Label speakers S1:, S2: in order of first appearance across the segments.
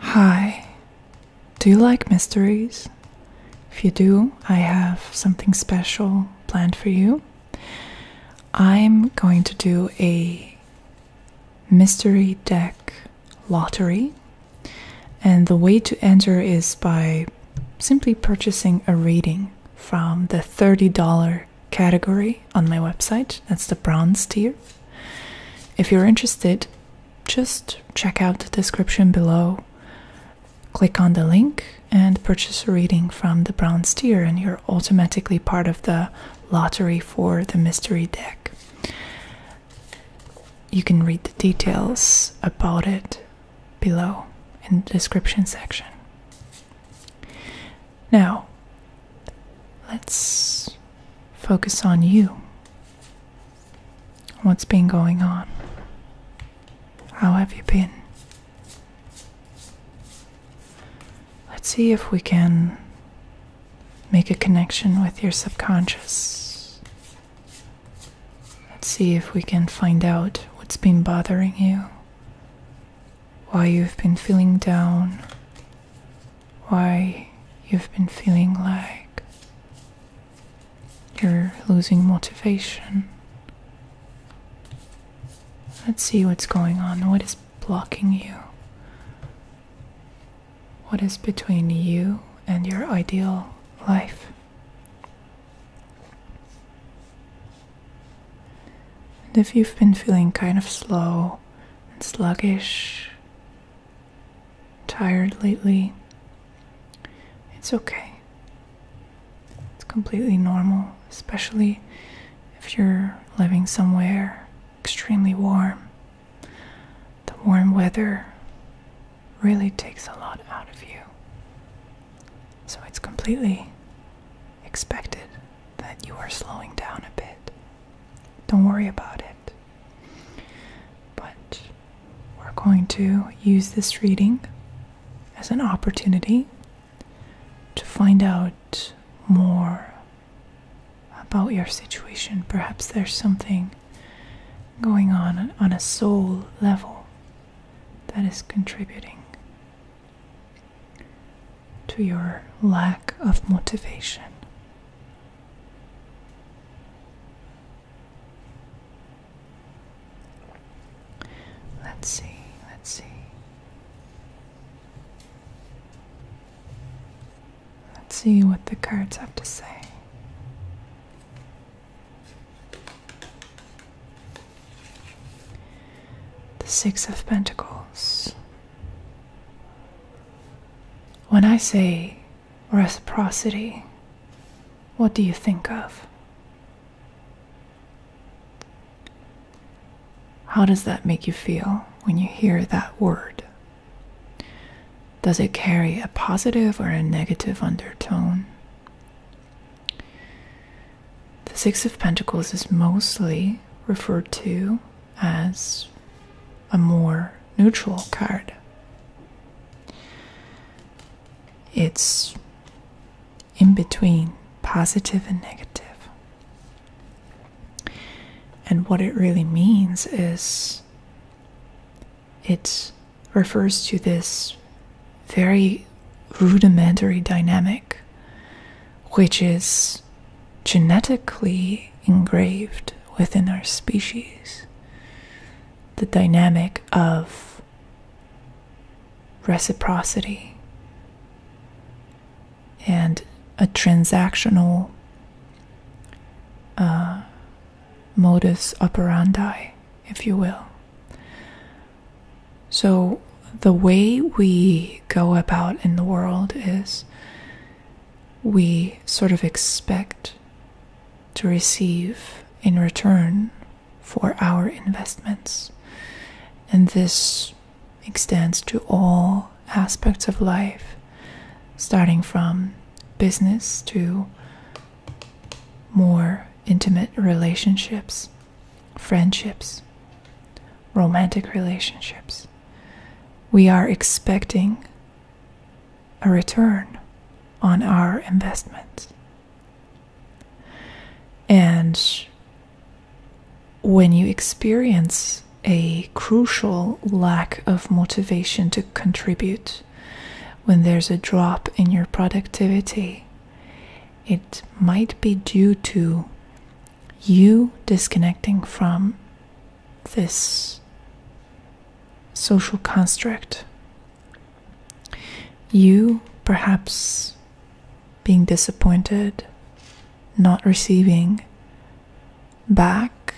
S1: Hi, do you like mysteries? If you do, I have something special planned for you. I'm going to do a mystery deck lottery and the way to enter is by simply purchasing a reading from the $30 category on my website. That's the bronze tier. If you're interested, just check out the description below, click on the link, and purchase a reading from the bronze tier, and you're automatically part of the lottery for the mystery deck. You can read the details about it below in the description section. Now, let's focus on you. What's been going on? How have you been? Let's see if we can make a connection with your subconscious Let's see if we can find out what's been bothering you. Why you've been feeling down. Why you've been feeling like you're losing motivation. Let's see what's going on. What is blocking you? What is between you and your ideal life? And if you've been feeling kind of slow and sluggish, tired lately, it's okay. It's completely normal, especially if you're living somewhere extremely warm. The warm weather really takes a lot out of you. So it's completely expected that you are slowing down a bit. Don't worry about it. But we're going to use this reading as an opportunity to find out more about your situation. Perhaps there's something going on on a soul level that is contributing to your lack of motivation. Let's see, let's see. Let's see what the cards have to say. The Six of Pentacles. When I say reciprocity, what do you think of? How does that make you feel when you hear that word? Does it carry a positive or a negative undertone? The Six of Pentacles is mostly referred to as a more neutral card. It's in between positive and negative. And what it really means is it refers to this very rudimentary dynamic, which is genetically engraved within our species. The dynamic of reciprocity and a transactional uh, modus operandi, if you will. So, the way we go about in the world is we sort of expect to receive in return for our investments. And this extends to all aspects of life, starting from business to more intimate relationships, friendships, romantic relationships. We are expecting a return on our investment. And when you experience a crucial lack of motivation to contribute when there's a drop in your productivity. It might be due to you disconnecting from this social construct. You perhaps being disappointed, not receiving back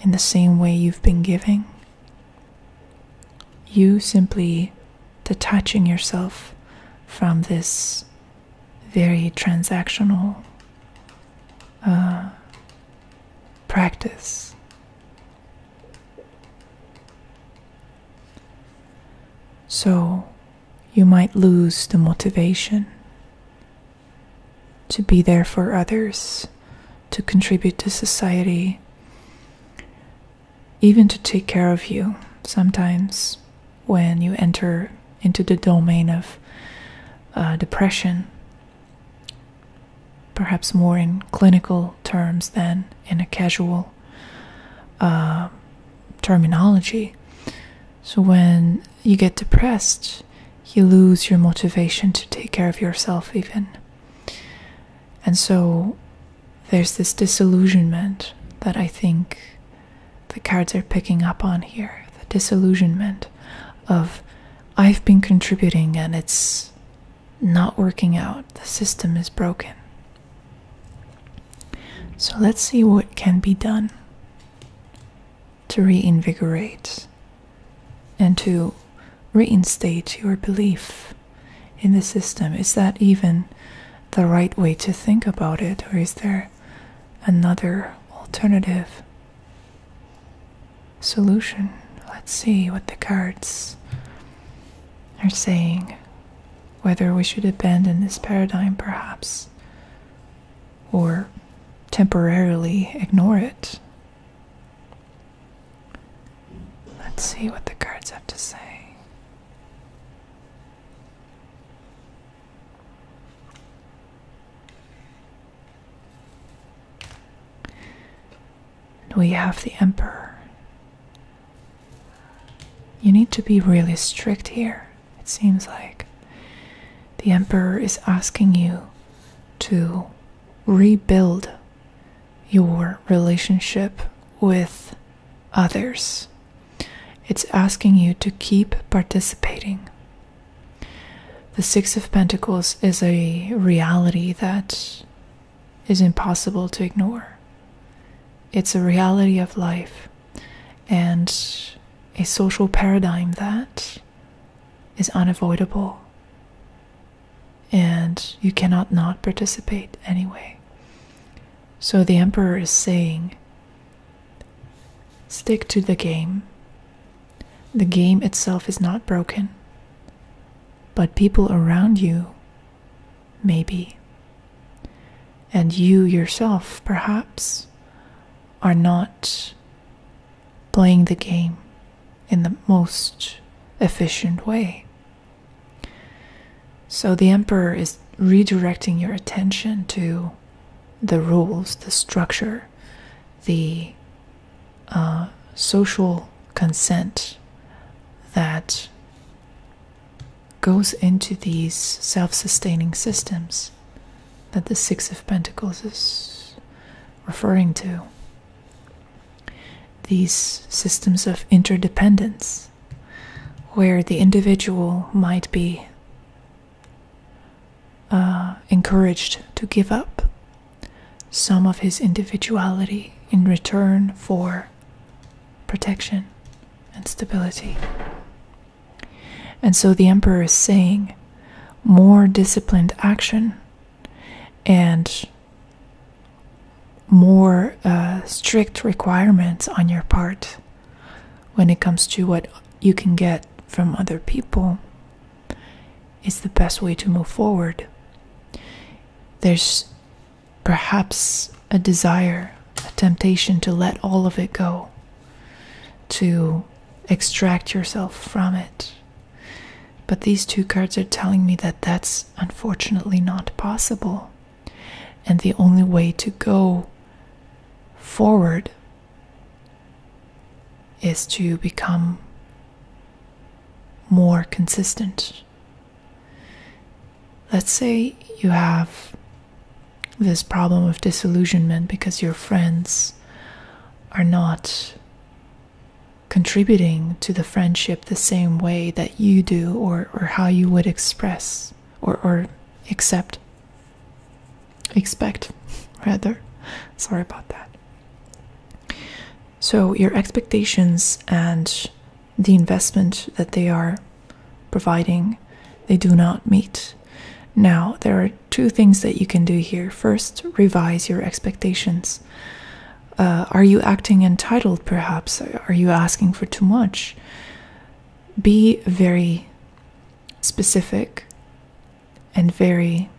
S1: in the same way you've been giving. You simply detaching yourself from this very transactional uh, practice. So you might lose the motivation to be there for others to contribute to society, even to take care of you sometimes when you enter into the domain of uh, depression, perhaps more in clinical terms than in a casual uh, terminology. So, when you get depressed, you lose your motivation to take care of yourself, even. And so there's this disillusionment that I think the cards are picking up on here the disillusionment of I've been contributing and it's not working out, the system is broken. So let's see what can be done to reinvigorate and to reinstate your belief in the system. Is that even the right way to think about it, or is there another alternative solution? Let's see what the cards are saying. Whether we should abandon this paradigm, perhaps, or temporarily ignore it Let's see what the cards have to say. We have the Emperor. You need to be really strict here, it seems like. The Emperor is asking you to rebuild your relationship with others. It's asking you to keep participating. The Six of Pentacles is a reality that is impossible to ignore. It's a reality of life and a social paradigm that is unavoidable and you cannot not participate anyway. So the Emperor is saying stick to the game. The game itself is not broken, but people around you, maybe. And you yourself, perhaps, are not playing the game in the most efficient way. So the emperor is redirecting your attention to the rules, the structure, the uh, social consent that goes into these self sustaining systems that the Six of Pentacles is referring to. These systems of interdependence, where the individual might be uh, encouraged to give up some of his individuality in return for protection and stability. And so the emperor is saying more disciplined action and more uh, strict requirements on your part when it comes to what you can get from other people is the best way to move forward. There's perhaps a desire, a temptation to let all of it go, to extract yourself from it. But these two cards are telling me that that's unfortunately not possible. And the only way to go forward is to become more consistent. Let's say you have this problem of disillusionment because your friends are not contributing to the friendship the same way that you do or, or how you would express or, or accept expect rather sorry about that so your expectations and the investment that they are providing they do not meet now there are two things that you can do here first revise your expectations uh, are you acting entitled, perhaps? Are you asking for too much? Be very specific and very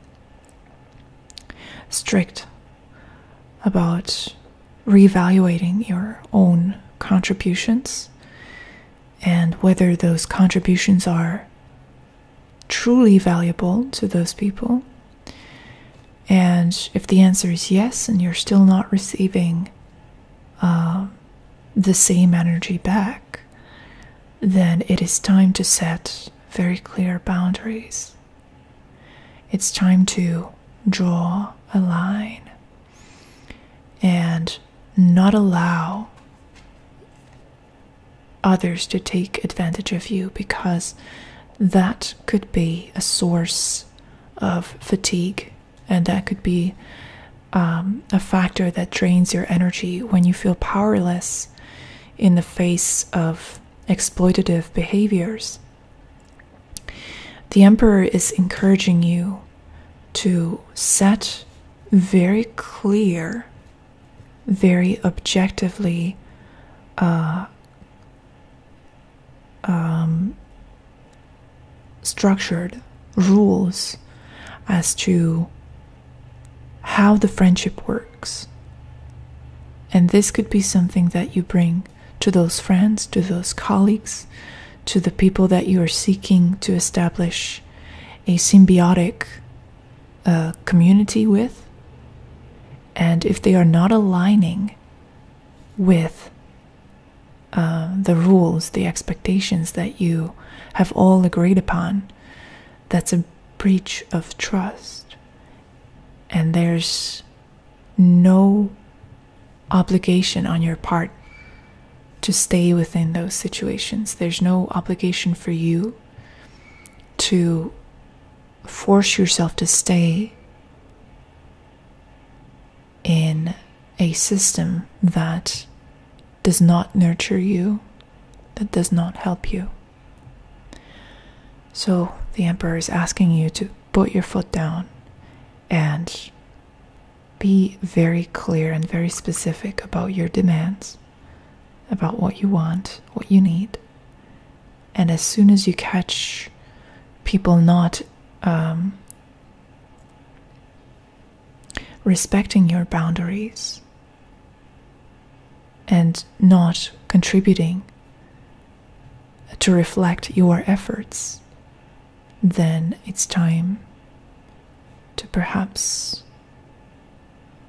S1: strict about reevaluating your own contributions and whether those contributions are truly valuable to those people and if the answer is yes, and you're still not receiving um, the same energy back, then it is time to set very clear boundaries. It's time to draw a line and not allow others to take advantage of you because that could be a source of fatigue, and that could be um, a factor that drains your energy when you feel powerless in the face of exploitative behaviors. The Emperor is encouraging you to set very clear, very objectively uh, um, structured rules as to how the friendship works. And this could be something that you bring to those friends, to those colleagues, to the people that you are seeking to establish a symbiotic uh, community with and if they are not aligning with uh, the rules, the expectations that you have all agreed upon, that's a breach of trust. And there's no obligation on your part to stay within those situations. There's no obligation for you to force yourself to stay in a system that does not nurture you, that does not help you. So the Emperor is asking you to put your foot down and be very clear and very specific about your demands, about what you want, what you need and as soon as you catch people not um, respecting your boundaries and not contributing to reflect your efforts, then it's time to perhaps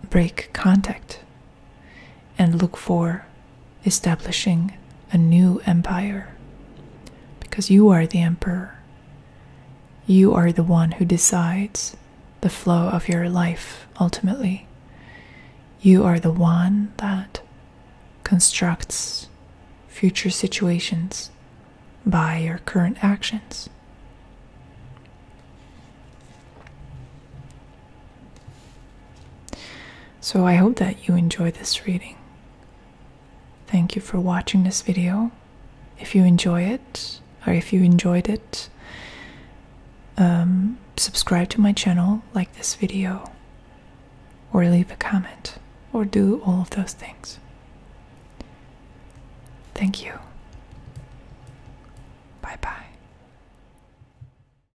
S1: break contact and look for establishing a new empire. Because you are the emperor, you are the one who decides the flow of your life ultimately. You are the one that constructs future situations by your current actions. So I hope that you enjoy this reading. Thank you for watching this video. If you enjoy it, or if you enjoyed it, um, subscribe to my channel, like this video, or leave a comment, or do all of those things. Thank you. Bye bye.